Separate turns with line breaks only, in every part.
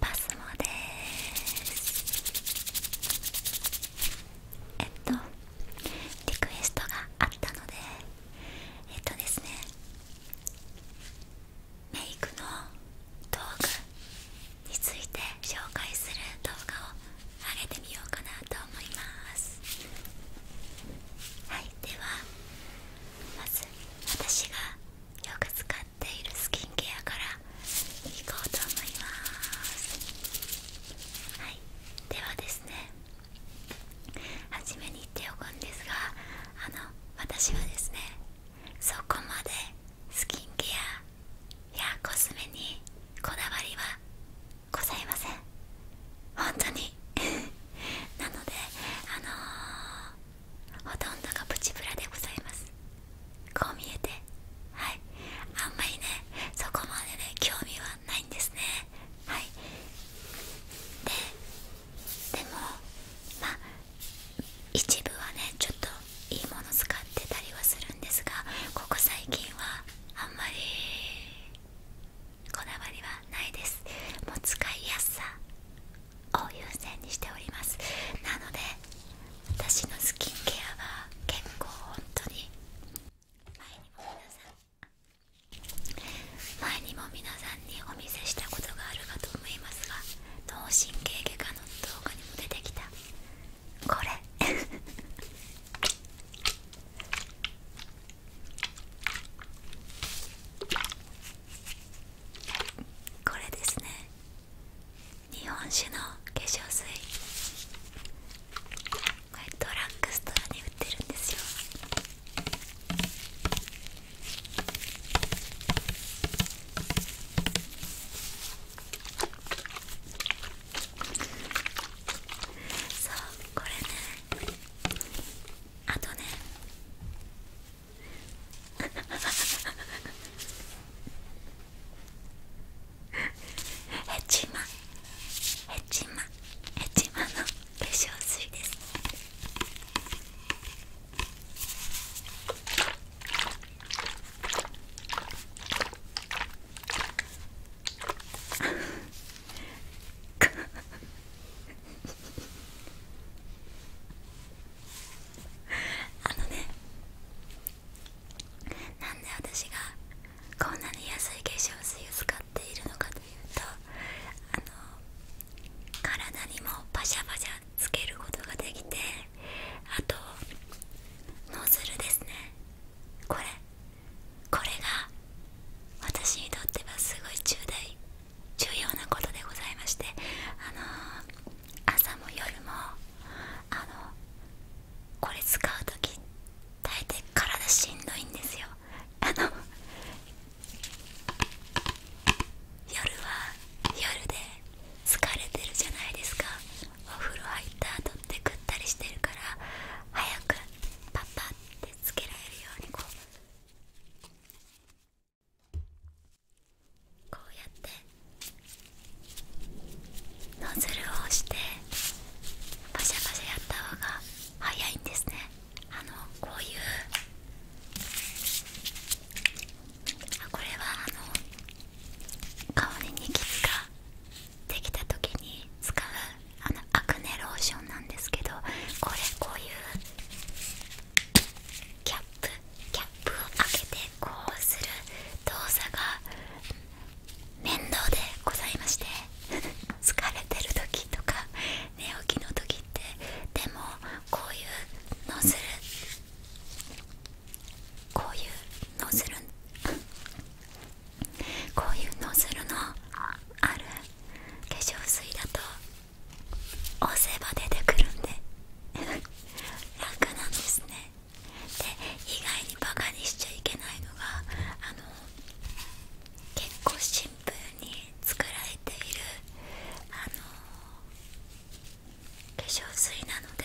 パスモですえっとリクエストがあったのでえっとですねメイクの道具について紹介する動画を上げてみようかなと思いますはいではまず私がよく使っているスキンケアからいこうと思いますはいではですね初めに言っておくんですがあの私はですねそこまでスキンケアやコスメにこだわりはございません本当に なのであのほとんどがプチプラでございますこう見えてはいあんまりねそこまでね興味はないんですねはいででもまあ一部はねちょっといいもの使ってたりはするんですがここ最近はあんまりこだわりはないですもう使いやすさを優先にしておりますなので私のスキンケアは結構本当に前にも皆さん前にも皆さんにお見せしたことがあるかと思いますが脳神経外科の動画にも出てきたこれ これですね日本酒の化粧水これドラッグストアに売ってるんですよそうこれねあとねあ ヘチマヘチマヘチマの化粧水ですあのねなんで私がこんなに安い化粧水を使っているのかというとあの体にもパシャパシャつけることができてあとノズルですねこれこれが私にとってはすごい重大重要なことでございましてあの朝も夜もあのこれ使う時大体体しんどいんですよあの夜は夜で疲れてるじゃないですかお風呂入った後ってぐったりしてるから早くパッパってつけられるようにこうこうやってノズルをしてバシャバシャやった方が早いんですねあのこういうあこれはあの香りにニキビができた時に使うあのアクネローションなんですけどこれこういうキャップキャップを開けてこうする動作が面倒でございまして 疲れてる時とか寝起きの時ってでもこういうノズルこういうノズルこういうノズルのある化粧水だと押せば出てくるんで楽なんですねで意外にバカにしちゃいけないのがあの結構シンプルに作られているあの化粧水なので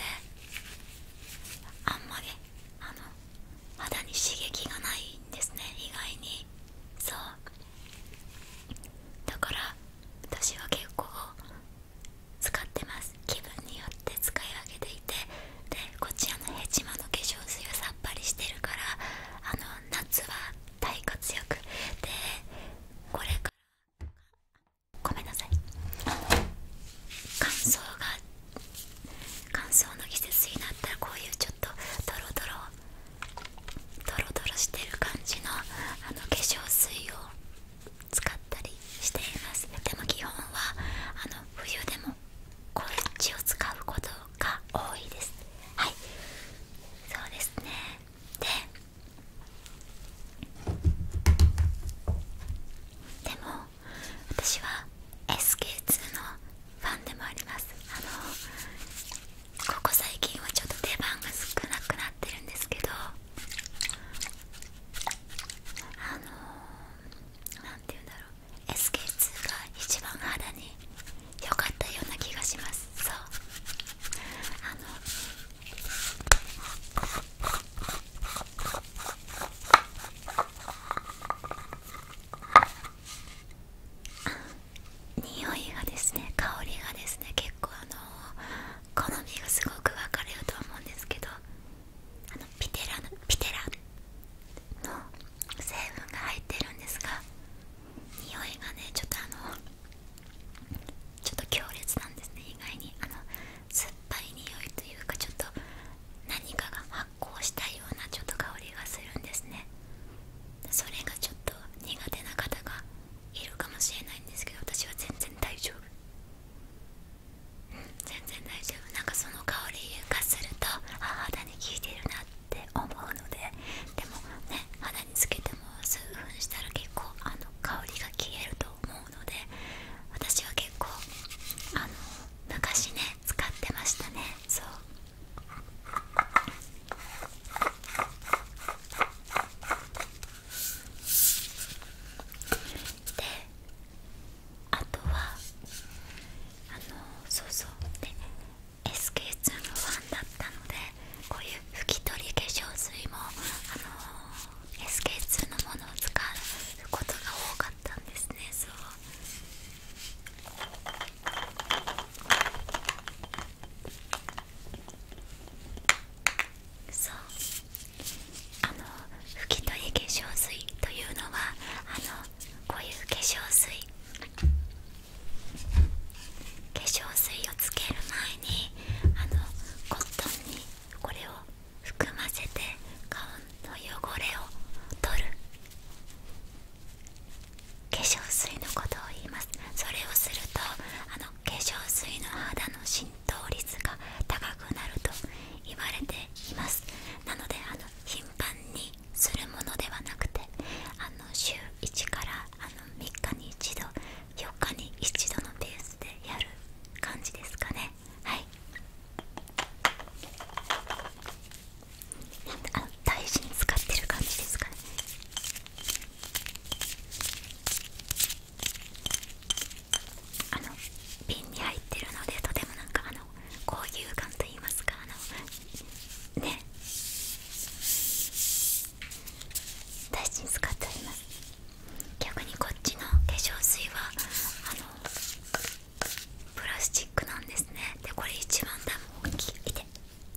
あんまりあの肌に刺激がないんですね意外にそうだから私は結構使ってます気分によって使い分けていてでこちらのヘチマの化粧水はさっぱりしてるからあの夏は大活躍でこれからごめんなさい乾燥が乾燥の季節になったらこういうちょっとドロドロドロドロしてる感じのあの化粧水を使ったりしていますでも基本はあの冬でもこっちを使うことが多いですはいそうですねででも私は SK2 のファンでもありますあのここ最近はちょっと出番が少なくなってるんですけどあのー、なんて言うんだろう SK2 が一番肌に良かったような気がしますそうあの匂いがですね香りがですね結構あの好みがすごく分かれると思うんですけどあのピテラのピテラの成分が入ってるんですが匂いがねちょっとあのちょっと強烈なんですね意外にあの酸っぱい匂いというかちょっと何かが発酵したようなちょっと香りがするんですねそれがちょっと苦手な方がいるかもしれないんですけど私は全然大丈夫全然大丈夫なんかその香りがするとあ肌に効いてるなって思うのででもね肌につけても数分したら結構あの香りが消えると思うので私は結構あの昔ね使ってましたねそうであとはあのそうそうで SK2 のファンだったのでこういう拭き取り化粧水も、あのー、SK2 のものを使うことが多かったんですねそうそうあの拭き取り化粧水というのはあのこういう化粧水化粧水をつける前にあのコットンにこれを含ませて顔の汚れを取る化粧水のことを言いますそれをするとあの化粧水の肌の浸透率が高くなると言われていますなのであの頻繁ににするものではなくてあの週1からあの3日に1度4日に1度のペースでやる感じですかねはいあの大事に使ってる感じですかねあの瓶に入ってるのでとてもなかあの高揚感といいますかあのね大事に使ってあります逆にこっちの化粧水はあのプラスチックなんですねでこれ一番ダム大きいで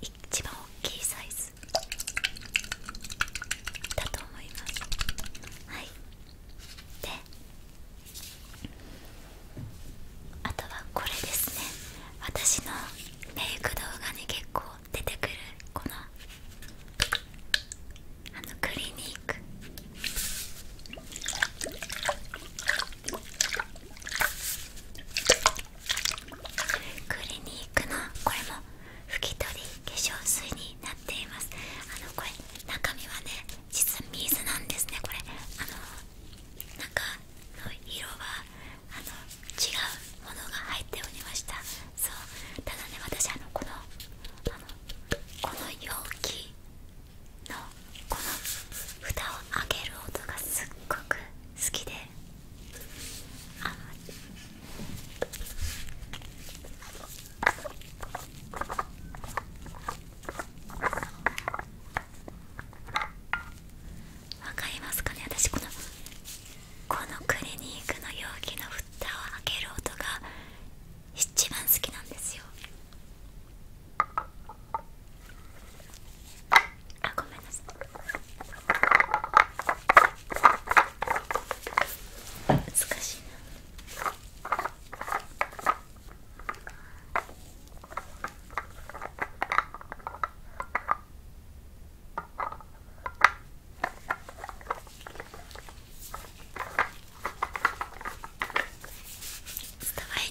一番大きいサイズだと思いますはいであとはこれですね私のメイク動画に結構出てくるこのあのクリニッククリニックのこれも拭き取り化粧水になっていますあのこれ中身はね実水なんですねこれあの中の色はあの違うものが入っておりましたそうただね私あのこのあのこの容器のこの蓋を開ける音がすっごく好きであのわかりますかね私このこのクリニックの容器の蓋を開ける音が一番好きなんですよあごめんなさい難しいなちょっ伝わ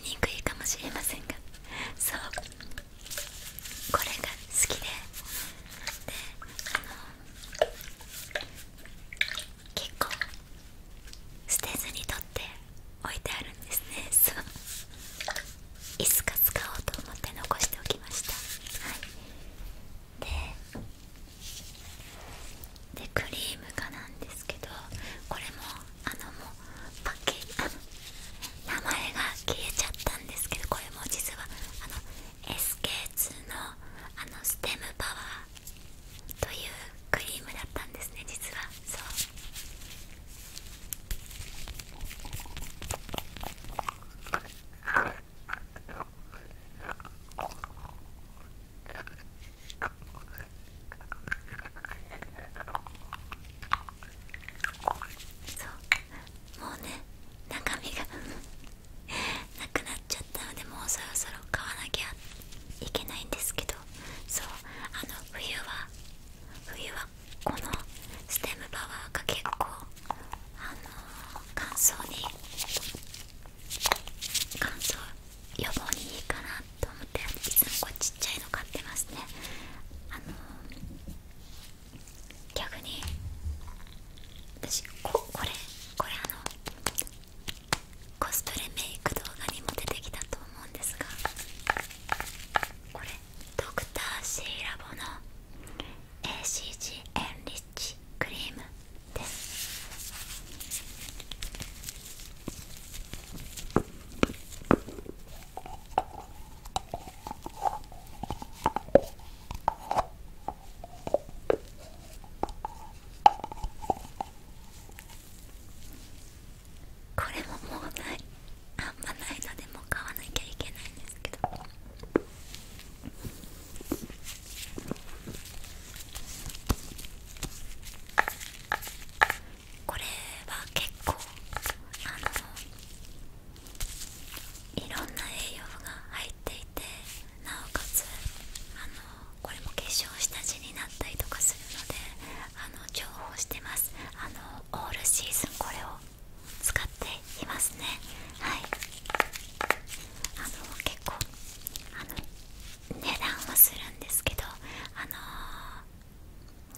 りにくいかもしれませんがそうこれが好きでであの結構捨てずに取って置いてあるんですねそういつか使おうと思って残しておきましたはいででクリームかなんですけどこれもあのもうパッケージ名前が消えちゃったんですけどこれも実はあの SK2 のあのステムパワーというクリームだったんですね実はそうそうもうね中身が なくなっちゃったのでもうそろそろ買わなきゃいけないんですけどそうあの冬は冬はこのステムパワーが結構あの乾燥に乾燥予防にいいかなと思っていつもこうちっちゃいの買ってますねあの逆に私ここれこれあのコスプレメイク動画にも出てきたと思うんですがこれドクターシーラボの ACG エンリッチクリームですこれももうないあんまないのでもう買わなきゃいけないんですけどこれは結構あのいろんな栄養が入っていてなおかつあのこれも化粧下地になったりとかするのであの重宝してますあのオールシーズンこれを使っていますねはいあの結構あの値段はするんですけどあの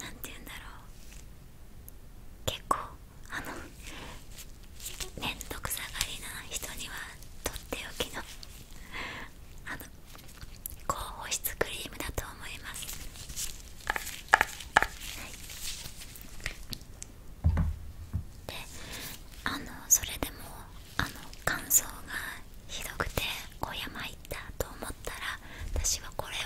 なて言うんだろう結構あの面倒くさがりな人にはとっておきの高保湿クリームだと思います、であのそれでもあの乾燥がひどくてお山行ったと思ったら私はこれを。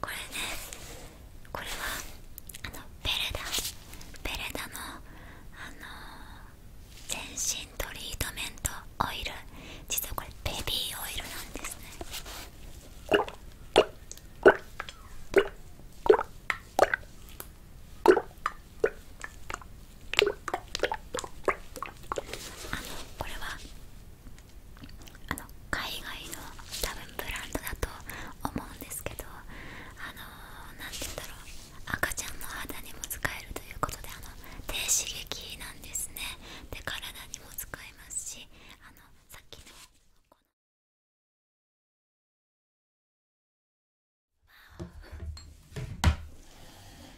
これね。これはあのベレダベレダのあの全身トリートメントオイル実はこれベビーオイルなんですねあのこれはあの海外の多分ブランドだと思うんですけどあの何て言うんだろう赤ちゃんの肌にも使えるということであの低刺激なんですねで体にも使えますしあのさっきのこの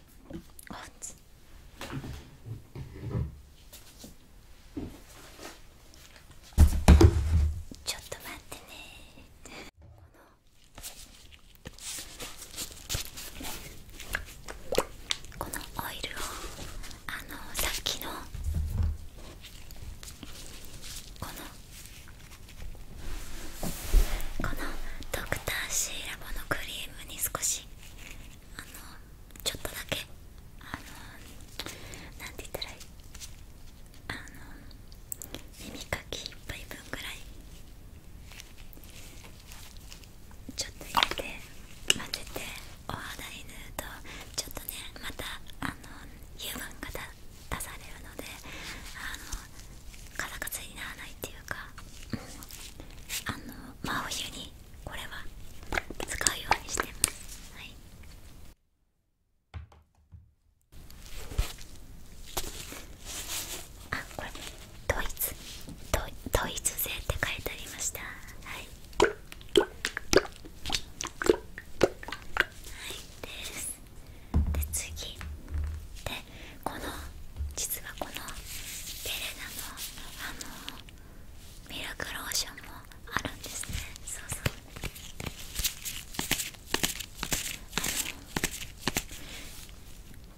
ちょっと待ってねこのこのオイルをあのさっきのこのこのドクターシーラボのクリームに少しあのちょっとだけあのなんて言ったらいいあの耳かき1杯分ぐらいちょっと入れて混ぜてお肌に塗るとちょっとねまたあの油分が出されるのであのカサカサにならないっていう。っていうか、うん、あの真お湯にこれは使うようにしてますはいあこれドイツドドイツ製って書いてありましたはいはいですで次でこの実はこのベレナのあのミルクローションもあるんですねそうそう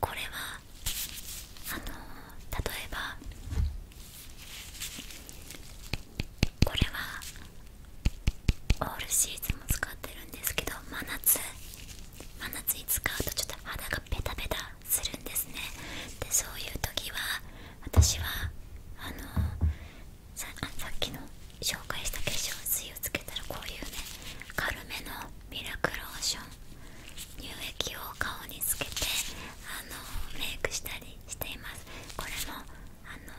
これはあの例えばこれはオールシーズンも使ってるんですけど真夏真夏に使うとちょっと肌がベタベタするんですねでそういう時は私はあのささっきの紹介した化粧水をつけたらこういうね軽めのミラクローション乳液を顔につけてあのメイクしたりしていますこれもあの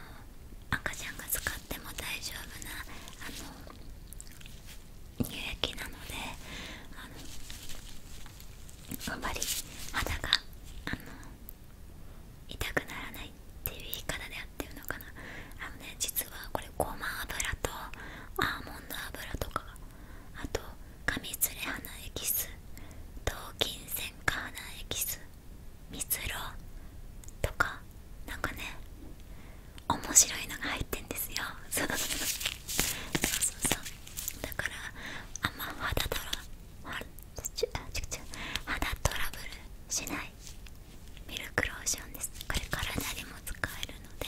赤ちゃんが使っても大丈夫なあの乳液なのであのあんまり肌があの痛くならないっていう言い方であってるのかなあのね実はこれごま油とアーモンド油とかあとカミツレれナエキス頭金カーナエキスミ蜜ロとかなんかね面白いのが入ってんですよそうだからあんままだラちちちトラブルしないミルクローションですこれ体にも使えるので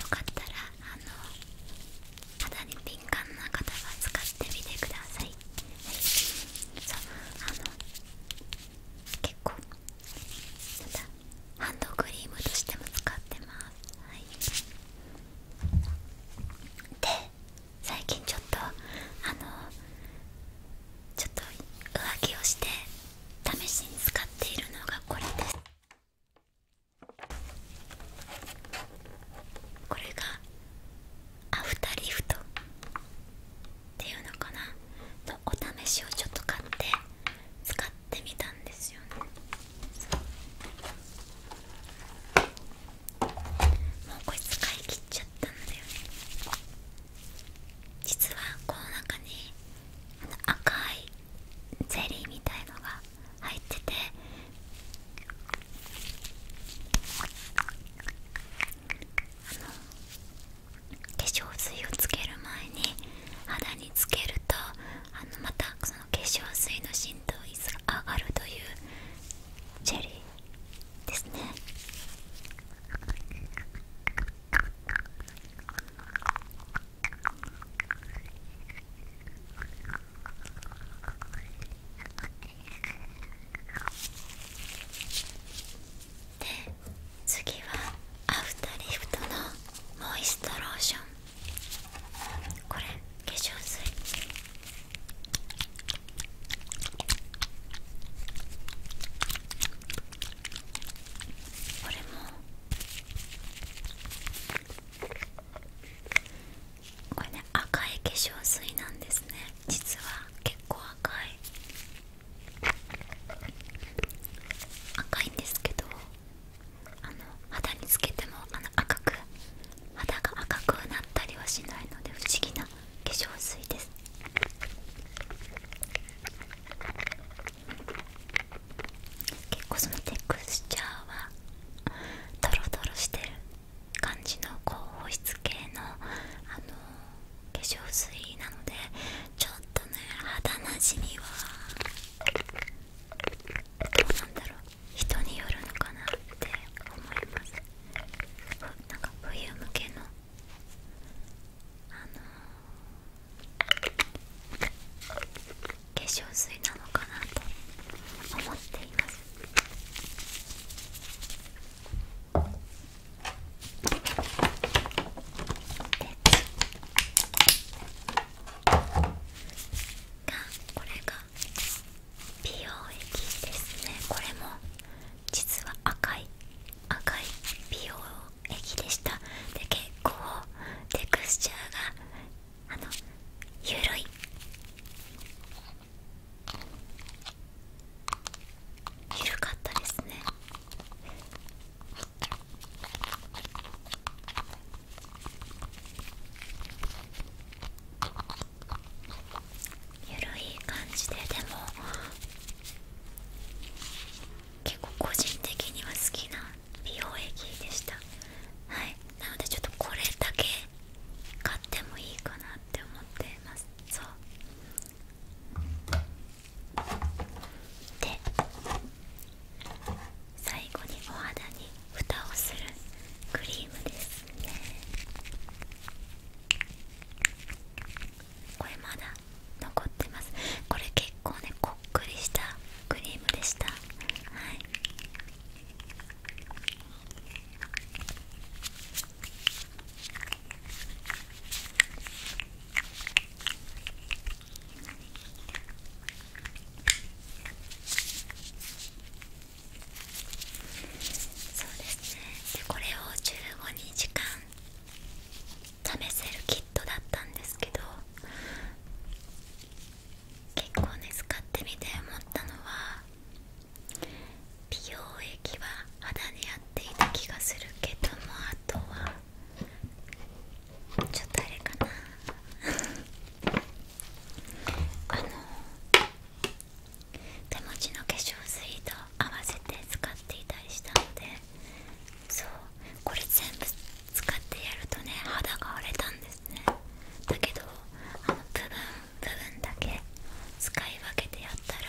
よかったらあの肌に敏感な方は使ってみてください、そうあの結構ハンドクリームとしても使ってます、はい、で最近ちょっとあのちょっと上着をして試しに使っているのがこれですこれがアフタリフトっていうのかなのお試しをちょっと買って使っってたんですよねもうこれ使い切っちゃったんだよね実はこの中に赤いゼリーみたいのが入ってて化粧水をつける前に肌につけるとあのまたその化粧水の浸透率が上がるというジェリーですねで次はアフターリフトのモイストローションこれ化粧水これもこれね赤い化粧水なんですね実は結構赤い赤いんですけどあの肌につけてもあの赤く肌が赤くなったりはしないので不思議な化粧水です結構そのテクスチャーはドロドロしてる感じの高保湿系の、あの化粧水なのでちょっとね肌なじみはなんだろう人によるのかなって思いますなんか冬向けのあの化粧水なのかなと思っていますでこれが美容液ですねこれも実は赤い赤い美容液でしたで結構テクスチャーがあの緩い緩かったですねゆるい感じででも結構個人的には好きな美容液でしたはいなのでちょっとこれだけ買ってもいいかなって思ってますそうで最後にお肌に蓋をするクリームですねこれまだ残ってますこれ結構ねこっくりしたクリームでしたはいそうですねでこれを15日間試せるキットだったんですけど結構ね使ってみて思ったのは美容液は肌に合っていた気がするけどもあとはちょっとあれかなあの手持ちの化粧水と合わせて使っていたりしたのでそうこれ全部使ってやるとね肌が荒れたんですねだけどあの部分部分だけ使い分けてやったら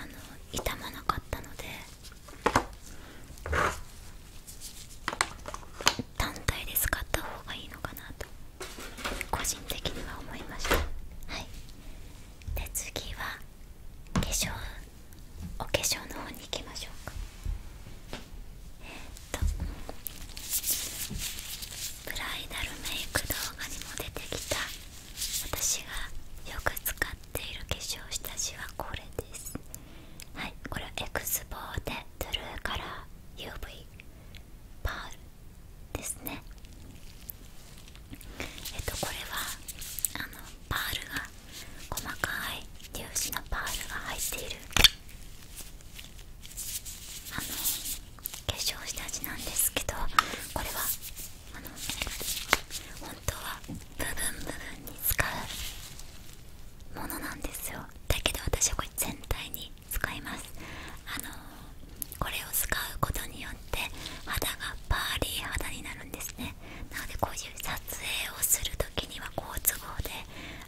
あの痛まなかったので単体で使った方がいいのかなと個人的には思いましたはいで次は化粧お化粧の方に行きましょうかえっとブライダルメイク動画にも出てきた私がよく使っている化粧下地はこれですはいこれはエクスボーテトゥルーカラー UV パールですねえっとこれはあのパールが細かい粒子のパールが入っているあの化粧下地なんですけどこれはあの本当は部分部分に使うものなんですよだけど私はこれ全体に使いますあのこれを使うことによって肌がパーリー肌になるんですねなのでこういう撮影をする時には好都合で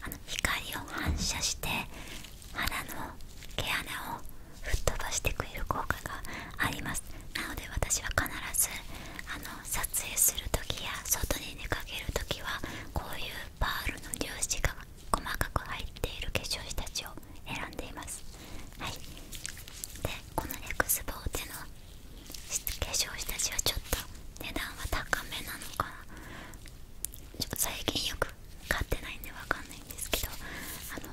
あの光を反射して肌の毛穴を吹っ飛ばしてくれる効果がありますなので私は必ず撮影する時や外に出かける時はこういうパールの粒子が細かく入っている化粧下地を選んでいますはいでこのエクスボーテの化粧下地はちょっと値段は高めなのかな最近よく買ってないんでわかんないんですけどあの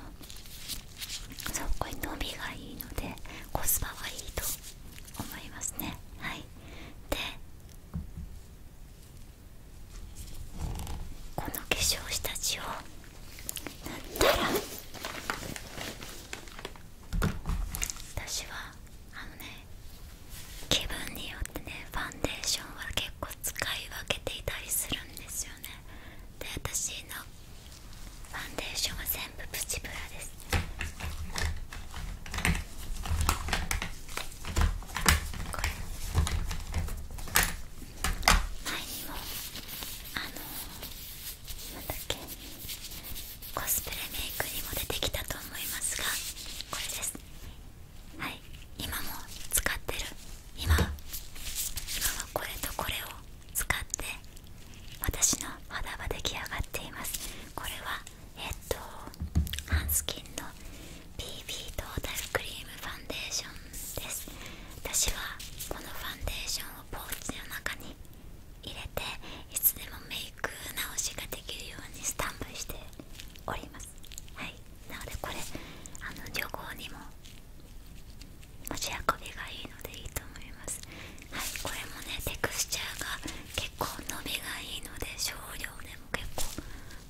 そこに伸びがいいのでコスパはいいと思いますねはいでこの化粧下地を塗ったら私はあのね気分によってねファンデーションは結構使い分けていたりするんですよねで私のファンデーションは全部。プチブラです前にもあのなだけコスプレメイクにも出てきたと思いますがこれですはい今も使ってる今は今はこれとこれを使って私の肌は出来上がっていますこれはえっとハンスキンの BB トータルクリームファンデーションです私はこのファンデーションをポーチの中に入れていつでもメイク直しができるようにスタンプしておりますはいなのでこれあの旅行にも持ち運びがいいのでいいと思いますはいこれもねテクスチャーが結構伸びがいいので少量でも結構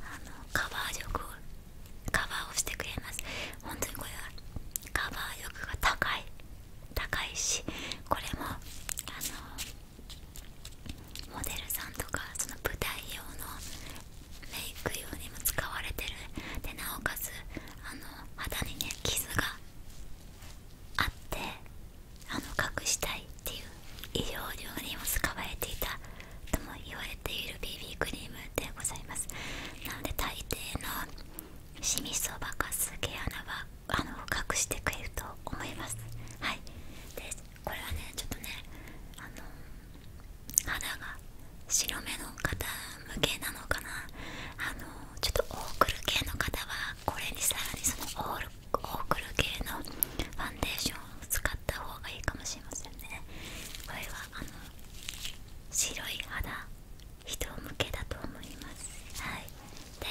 あのカバー力をカバーをしてくれます本当にこれはカバー力が高い高いしこれもあのモデルさんとかその舞台用のメイク用にも使われてるでなおかつあの肌にね傷があってあの隠したいっていう異常料にも使われていたとも言われている BB クリームでございますなので大抵のシミそばかす毛穴はあの隠してくれると思いますはいでこれはねちょっとねあの肌が白目の方向けなのかなあのちょっとオークル系の方はこれにさらにそのオールオークル系のファンデーションを使った方がいいかもしれませんねこれはあの白い肌人向けだと思いますはいで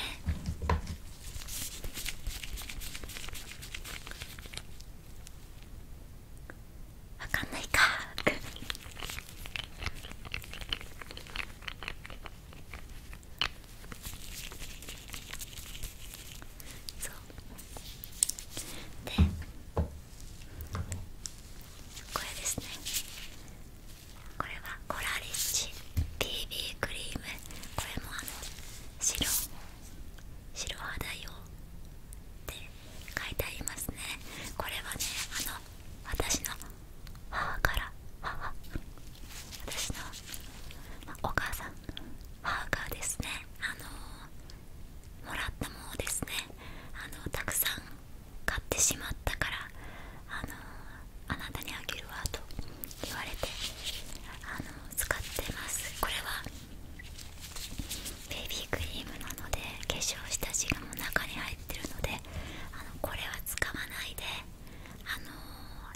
わかんないかあ そうでこれですねこれはコラリッチ t b クリームこれもあの白白肌用って書いてありますねこれはねあの私の母から私の、お母さん母がですねあのもらったものですねあのたくさん買ってしまったからあのあなたにあげるわと言われてあの使ってますこれはベイビークリームなので化粧下地がもう中に入ってるのであのこれは使わないであの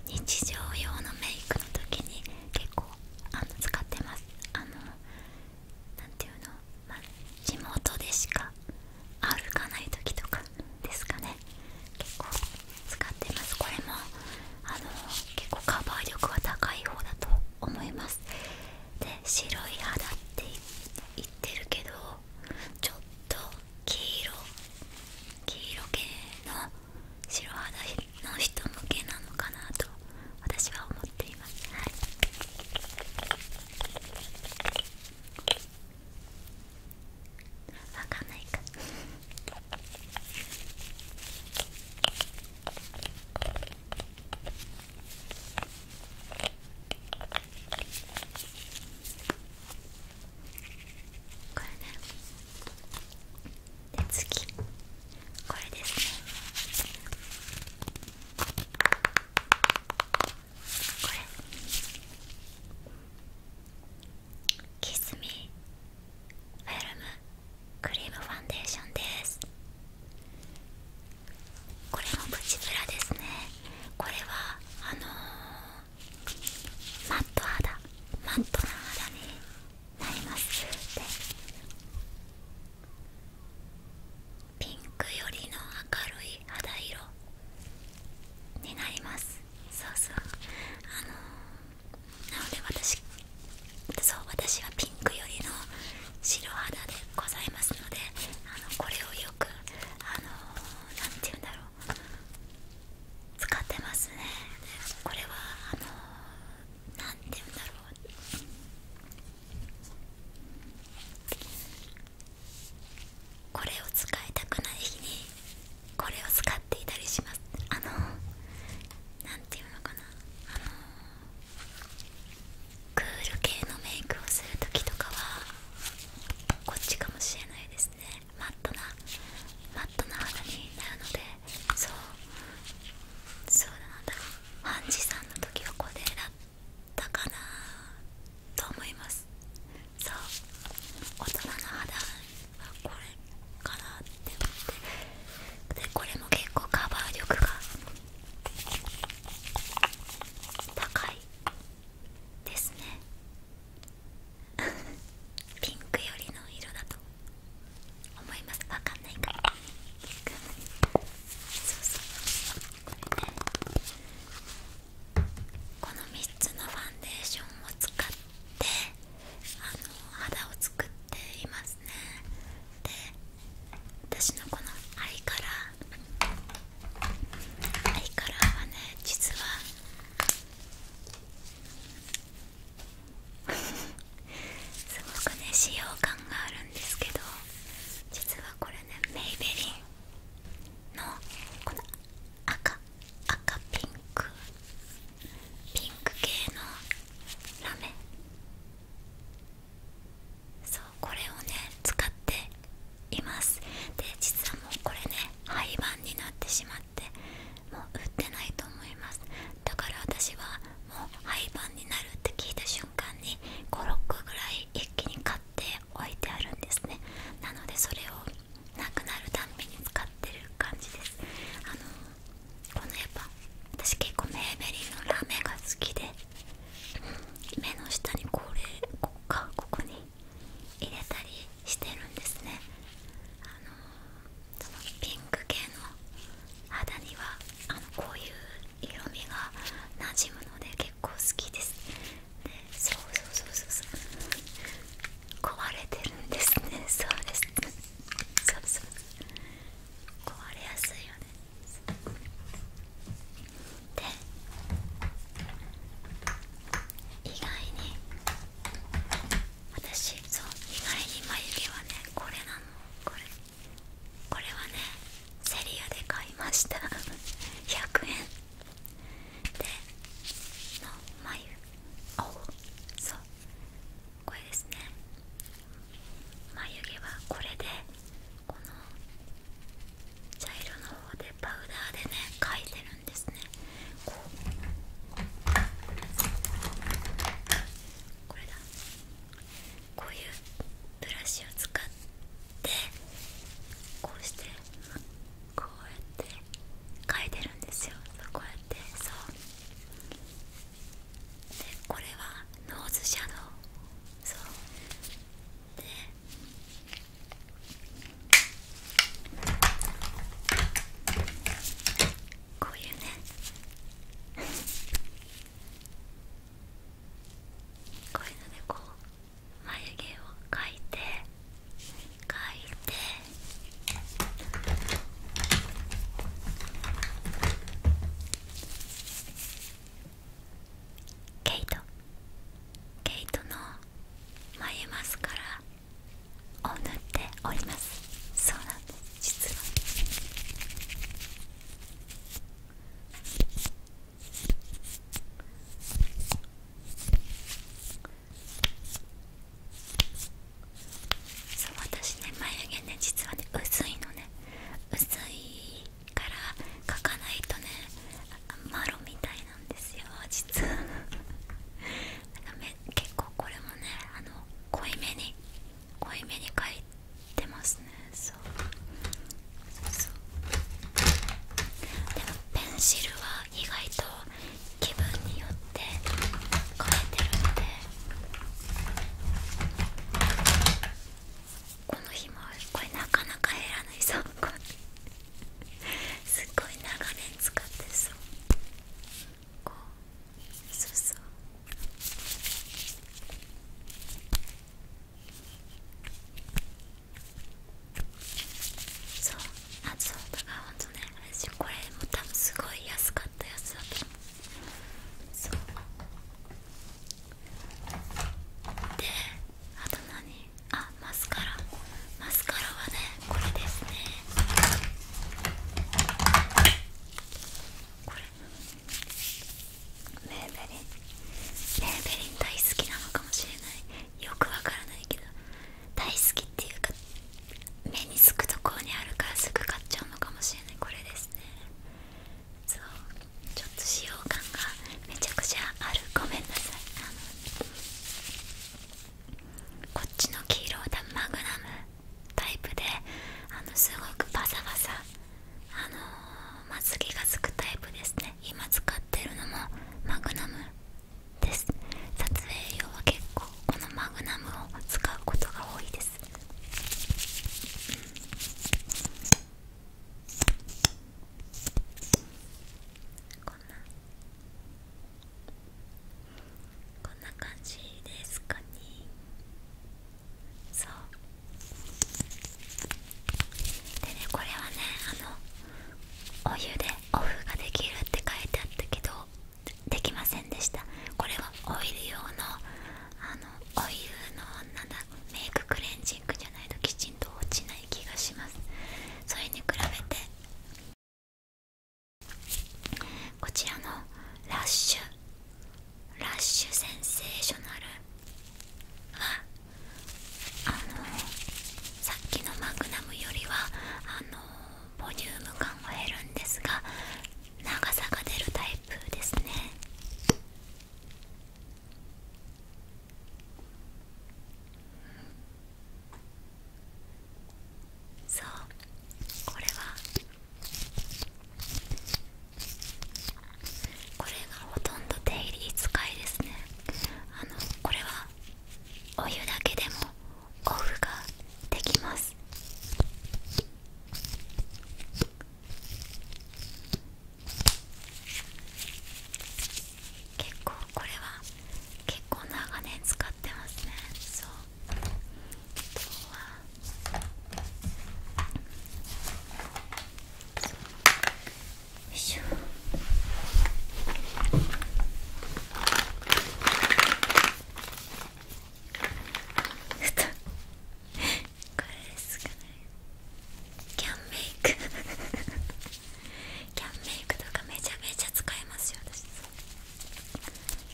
日常用のメイクの時に結構あの使ってますあの何ていうの、ま地元でしか歩かない時とかですかね結構使ってますこれもあの結構カバー力は高い方だと思いますで白い肌って言ってるけどちょっと黄色黄色系の白肌の人向けなのかなと私は思っています、はかんないかこれねで次これですねこれキスミフェルムクリームファンデーションですこれもプチプラですねこれはあのマット肌マットな肌になりますでピンクよりの明るい肌色になりますそうそうあのなので私そう私はピンクよりの白肌でございますのであのこれをよくあの何て言うんだろう使ってますねこれはあの何て言うんだろうこれを使いたくない日にこれを使っていたりしますあの何て言うのかなあのクール系のメイクをする時とかはこっちかもしれないですねマットなマットな肌になるのでそうそうだなんだハンジさんの時はこれだったかなと思いますそう大人の肌はこれかなって思ってでこれも結構カバー力が高いですね ピンクよりの色だと思いますわかんないからそうそうこれねこの3つのファンデーションを使ってあの肌を作っていますねで私のこのアイカラーアイカラーはね実はすごくね使用感があるんですけど実はこれねメイベリンのこの赤赤ピンクピンク系のラメそうこれをね使っていますで実はもうこれね廃盤になってしまって。っもう売ってないと思いますだから私はもう廃盤になるって聞いた瞬間に56ぐらい一気に買って置いてあるんですねなのでそれをなくなるたんびに使ってる感じですあのこのやっぱ私結構メーベリーのラメが好きで、目の下にこれここかここに入れたりしてるんですねあのピンク系の肌にはあのこういう色味が馴染むので結構好きですそうそうそうそうそうそう壊れてるんですね そうですそうそう壊れやすいよねで意外に私そう意外に眉毛はねこれなのこれこれはねセリアで買いました100 円での眉おそうこれですね眉毛はこれでこの茶色の方でパウダーでね描いてるですねこうこれだこういうブラシを使ってこうしてこうやって描いてるんですよこうやってそうでこれはノーズシャドウそうでこういうねこういうのでこう眉毛を描いて描いてケイトケイトの眉マスカラ塗っておりますそうなんです実はそう私ね眉毛ね実はね薄いのね薄いから描かないとねマロみたいな。なんですよ実はなんかめ結構これもねあの濃いめに濃いめに描いてますねそうでもペンシルは意外と気分によって変えてるんでこの日もこれなかなか減らないそうこすごい長年使ってそうこうそうそうそうあそうだからほんとねあれしこれも多分すごい安かったやつだと思そうであと何あマスカラマスカラはねこれですねこれメーベリンメーベリン大好きなのかもしれないよくわからないけど大好きっていうか目につくところにあるからすぐ買っちゃうのかもしれないこれですねそうちょっと使用感がめちゃくちゃあるごめんなさいこっちの黄色だ。マグナムタイプであのすごくバサバサあのまつげがつくタイプですね今使ってるのもマグナムです撮影用は結構このマグナムを使うことが多いです、こんなこんな感じですかねそうでねこれはねあのお湯でオフができるって書いてあったけどできませんでしたこれはオイル用のあのオイのなんだメイククレンジングじゃないときちんと落ちない気がしますそれに比べてこちらのラッシュラッシュセンセーショナルはあのさっきのマグナムよりはあのボリューム感は減るんですが長さが出るタイプですねそうこれはこれがほとんど手入り使いですねあのこれはお湯だけでもオフができます結構これは結構長年使ってますねそう今日はよいしょふとこれですかキャンメイクキャンメイクとかめちゃめちゃ使えますよ私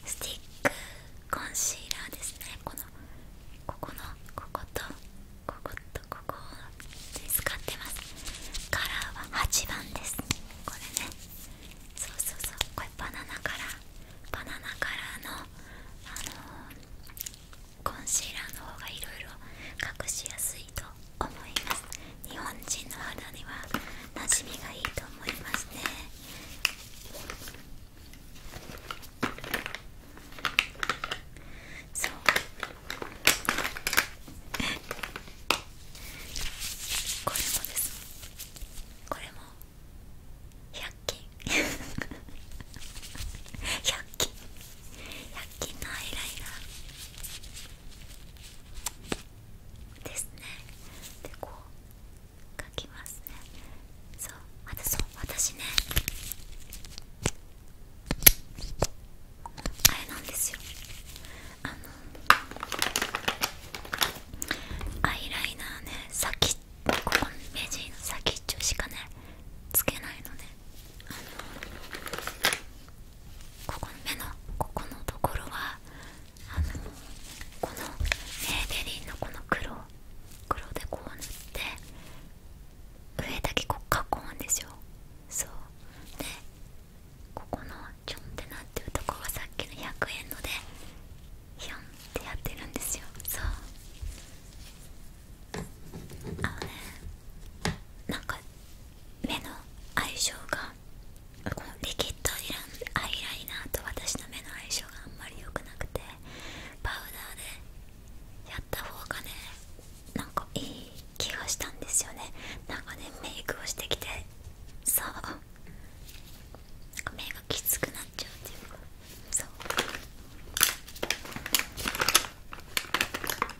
スティックコンシーラーですねこのここのこことこことここを使ってますカラーは8番ですこれねそうそうそうこれバナナカラーバナナカラーのあのコンシーラーの方が色々隠しやすいと思います日本人の肌にはなじみがいいと思いますねそうこれもですこれも100均100均100均のアイライナーですねでこう書きますねそうまたそう私ねあれなんですよあのアイライナーね先ここ目尻の先っちょしかねつけないのねあのここの目のここのところはあのこのネーベリーのこの黒黒でこう塗って上だけこう囲うんですよそうでここのちょんってなってるとこはさっきの100円のでヒョンってやってるんですよそうあのねなんか目の相性がこのリキッドアイライナーと私の目の相性があんまり良くなくてパウダーでやった方がねなんかいい気がしたんですよねなんかねメイクをしてきてそう目がきつくなっちゃうっていうかそうあとは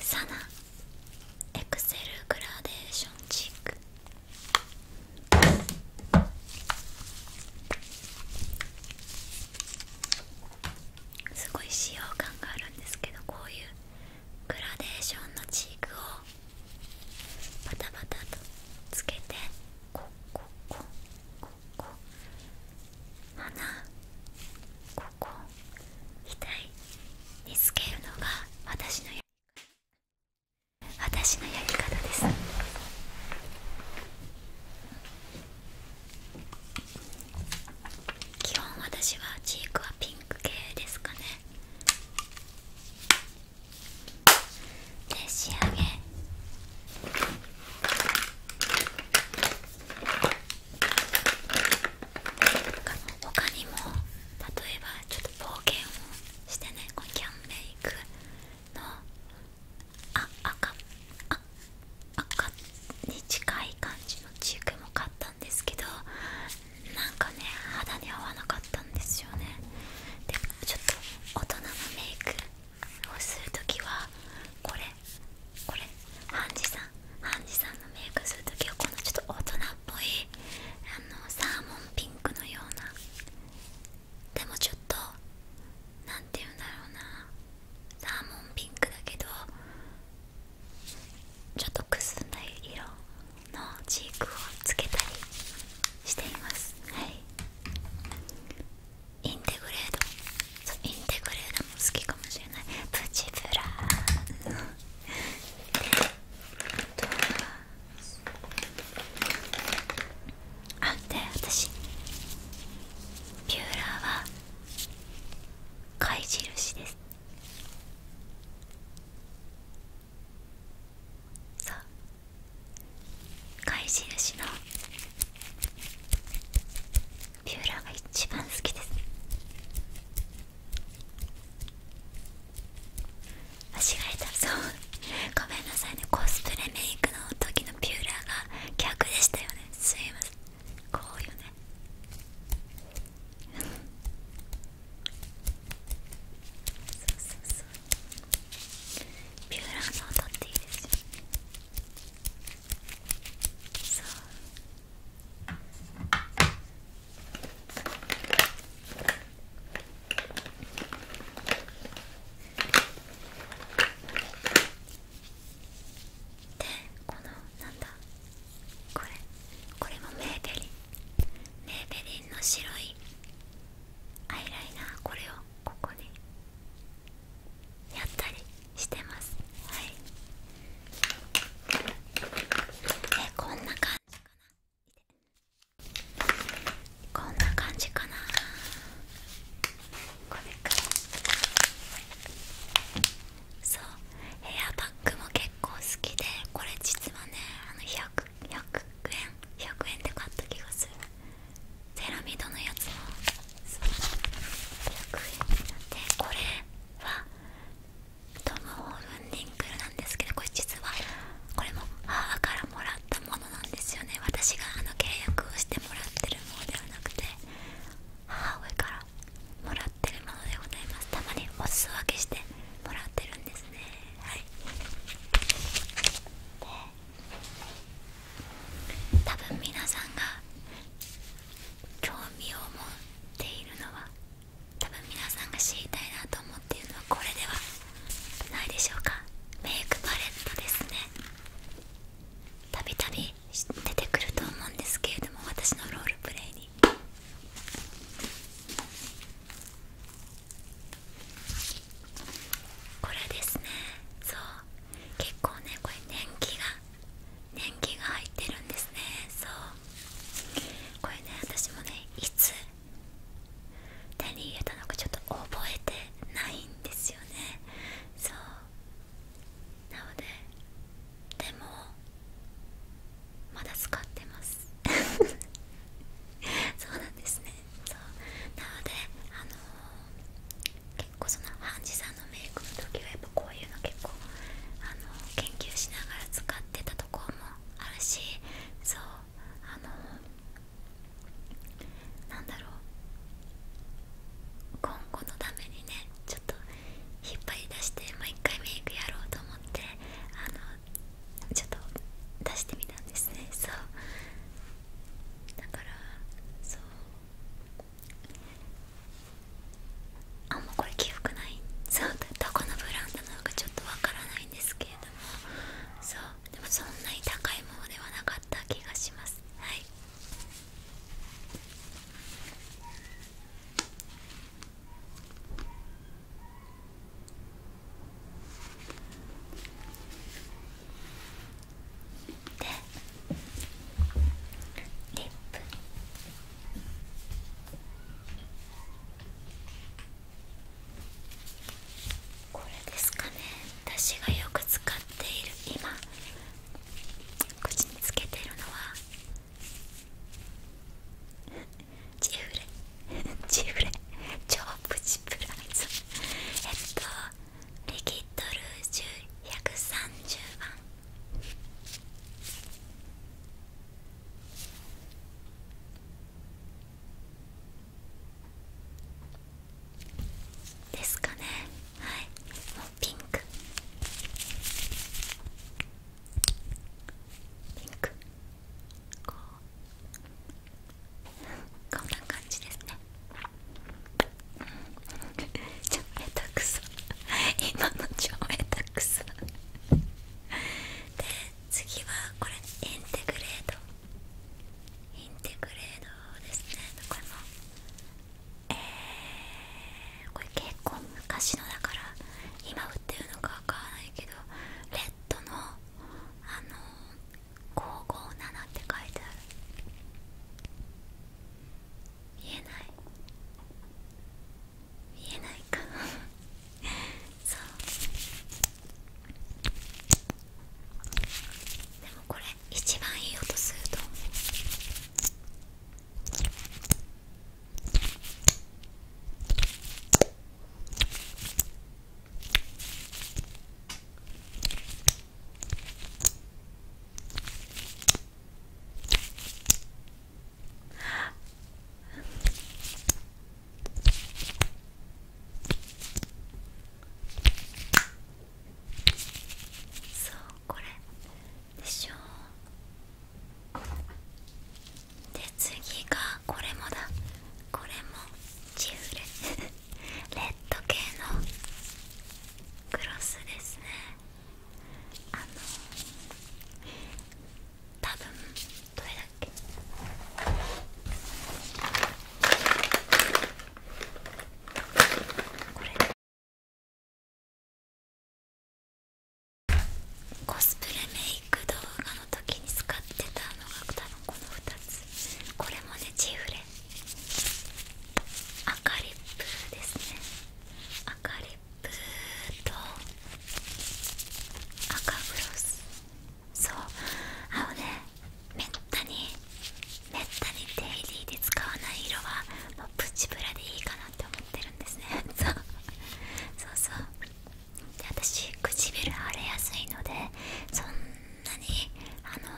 サナエクセルグラデーションチックすごい使用感があるんですけどこういうグラデーションのチークをバタバタとつけてこここここ鼻ここい。につけるのが私のやり方。私のやり方です基本私はチークはピンク系ですかねで仕上げ他にも例えばちょっと冒険をしてねこのキャンメイクのあ赤あ赤に近い感じのチークも買ったんですけどなんかね肌に合わなかったんですよねでちょっと大人のメイクをするときはこれこれハンジさんハンジさんのメイクするときはこのちょっと大人っぽいあのサーモンピンクのようなでもちょっと何て言うんだろうなサーモンピンクだけどちょっとくすんだ色のチークをつけたりしていますはいインテグレードそうインテグレードも好きかもしれないプチブラーとは。あで私ピューラーは貝印ですそう。貝印のピューラーが一番好きです間違えたそうごめんなさいねコスプレメイクの時のピューラーが逆でしたよねすいませんこうよねそうそうそうピューラーの音っていいですよねそうでこのなんだこれこれもメーベリンメーベリンの白いアイライナーこれをここにやったりしてますはいえこんな感じかなこんな感じかなこれかそうヘアパックも結構好きでこれ実はねあの 100, 100円100円で買った気がするセラミドのやつも100円でこれはトム・オーブン・リンクルなんですけどこれ実はこれも母からもらったものなんですよね私があの契約をしてもらってるものではなくて母上からもらってるものでございますたまにお裾分けしてもらってるんですねはいで多分皆さんが興味を持っているのは多分皆さんが知りたいなと思っているのはこれではないでしょうかメイクパレットですねたびたび出てくると思うんですけれども私のロールプレイこれですねそう結構ねこれ年季が年季が入ってるんですねそうこれね私もねいつ手に入れたのかちょっと覚えてないんですよねそうなのででもまだ使ってます そうなんですねそうなのであの結構そのハンジさんのメイクの時はやっぱこういうの結構あの研究しながら使ってたとこもあるしそうあのー、なんだろう今後のためにねちょっと引っ張り出して毎回メイクやろうと思ってあのちょっと出してみたんですねそうだからそうあんまこれ着服ないそうどこのブランドなのかちょっとわからないんですけれどもそうでもそんなに高いものではなかった気がしますはいでリップこれですかね私がよく使っている今口につけてるのはチフレジ フレ超プチプラズえっとリキッドルージュ130番ですかねはいもうピンクこうこんな感じですね超下手くそ今の超下手くそで次はこれインテグレードインテグレードですねこれもえーこれ結構昔のだから今売ってるのかわからないけどレッドのあの557って書いてある見えない見えないか そうでもこれ一番いい音すると思うそうこれでしょで次がこれもだこれもチフル レッド系のクロスですねあの多分どれだっけこれだ。コスプレメイク動画の時に使ってたのが多分この2つこれもねチフレ赤リップですね赤リップと赤グロスそう青のねめったにめったにデイリーで使わない色はもプチプラでいいかなって思ってるんですねそうそうで私唇腫れやすいのでそんなにあの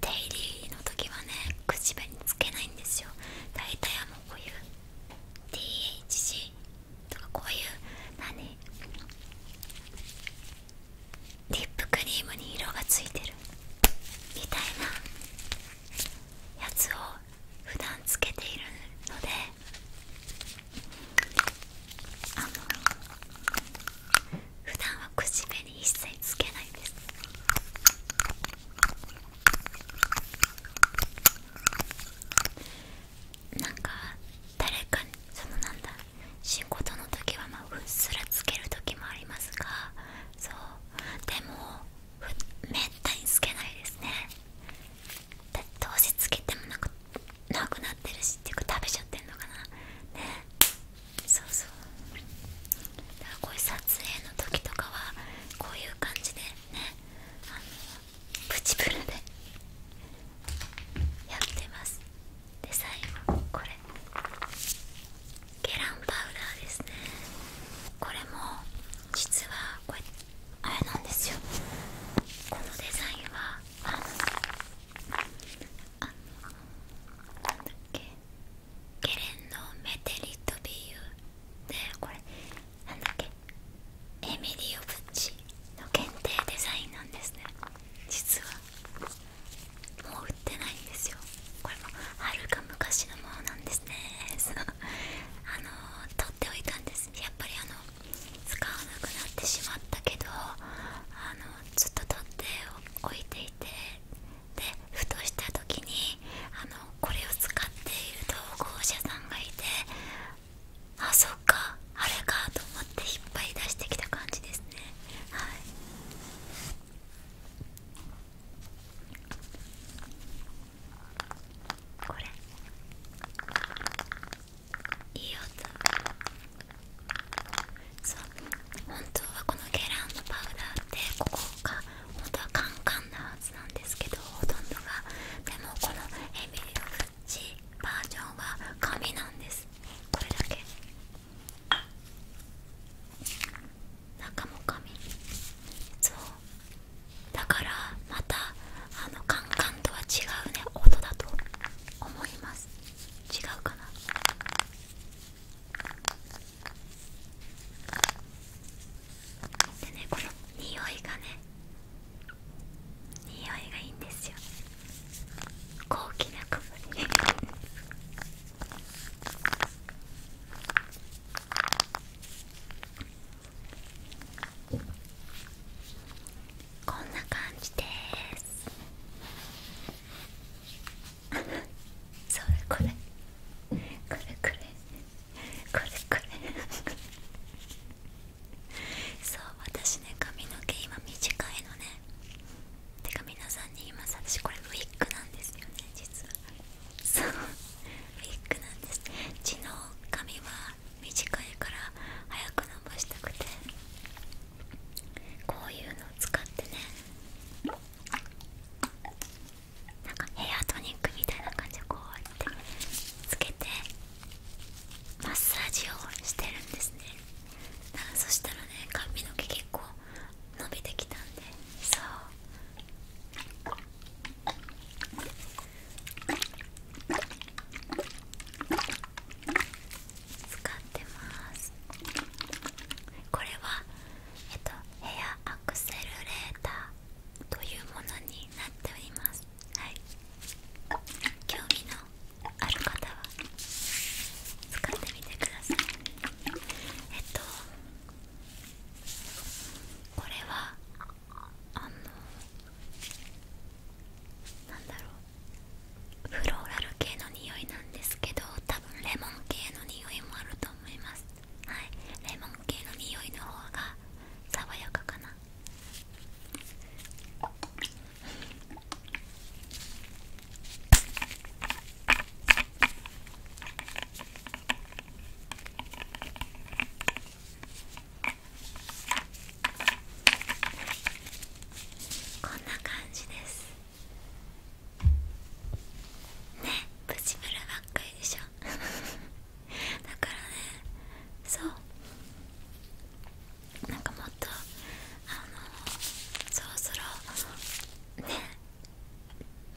デイリーの時はね口につけないんですよ大体はもうこういう DHC とかこういう何リップクリームに色がついてるみたいなやつを普段つけているのであの普段は口紅一切つけないですなんか誰かにそのなんだ仕事の時はまあうっすらつける時もありますがそうでもめったにつけないですねどうせつけてもなんなくなってるしっていうか食べちゃってるのかなねそうそうだからこういう撮影の時とかはこういう感じでねあのプチプルでやってますで最後これゲランパウダーですねこれも実はこれあれなんですよこのデザインはあのなんだっけゲレンのメテリットビューでこれなんだっけエミリオ・ブッチの限定デザインなんですね実はもう売ってないんですよはるか昔のものなんですね あの取っておいたんですやっぱりあの使わなくなってしまったけどあのずっと取っておいていてでふとした時にあのこれを使っている投稿者さんがいてあそっかあれかと思っていっぱい出してきた感じですねはいこれいい音そう本当はこのゲランのパウダーってここが本当はカンカンなはずなんですけどほとんどがでもこのエミリオフッチバージョンは紙なんですこれだけ中も紙そうだからまたあのカンカンとは違うね音だと思います違うかなでねこの匂いがね匂いがいいんですよ高貴な香り こんな感じです。それこれこれこれこれこれ そう私ね髪の毛今短いのねてか皆さんに言います私これウィッグなんですよね実はそう ウィッグなんです血の髪は短いから早く伸ばしたくてこういうのを使ってねなんかヘアトニックみたいな感じでこうやってつけてマッサージをしてるんですねそしたらね髪の毛結構伸びてきたんでそう使ってますこれはえっとヘアアクセルレーターというものになっておりますはい興味のある方は使ってみてくださいえっとこれはあのなんだろうフローラル系の匂いなんですけど多分レモン系の匂いもあると思いますはいレモン系の匂いの方が爽やかかなこんな感じですねプチブラばっかりでしょ だからねそうなんかもっとあのそろそろね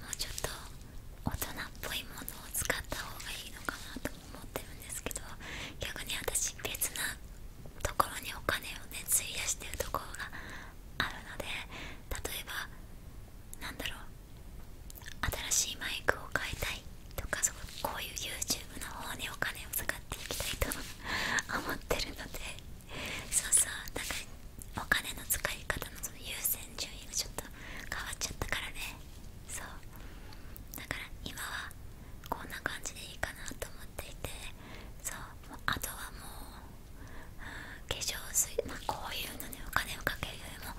もうちょっと大人っぽいものを使った方がいいのかなと思ってるんですけど逆に私別なところにお金をね費やしてるところがあるので例えばなんだろう新しいマイクを買いたいとかそこういう YouTube の方にお金を使っていきたいと思ってるのでそうそうだからお金の使い方のその優先順位がちょっと変わっちゃったからねそうだから今はこんな感じでいいかなと思っていてそうあとはもう、化粧水まこういうのにお金をかけるよりも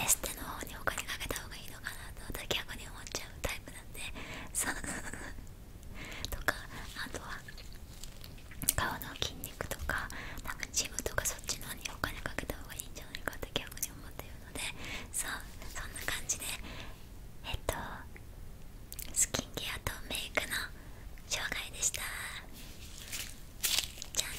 エステの方にお金かけた方がいいのかなと私逆に思っちゃうタイプなんでそう とかあとは顔の筋に行くとかなんかジムとかそっちの方にお金かけた方がいいんじゃないかって逆に思っているのでそうそんな感じでえっとスキンケアとメイクの紹介でしたじゃあね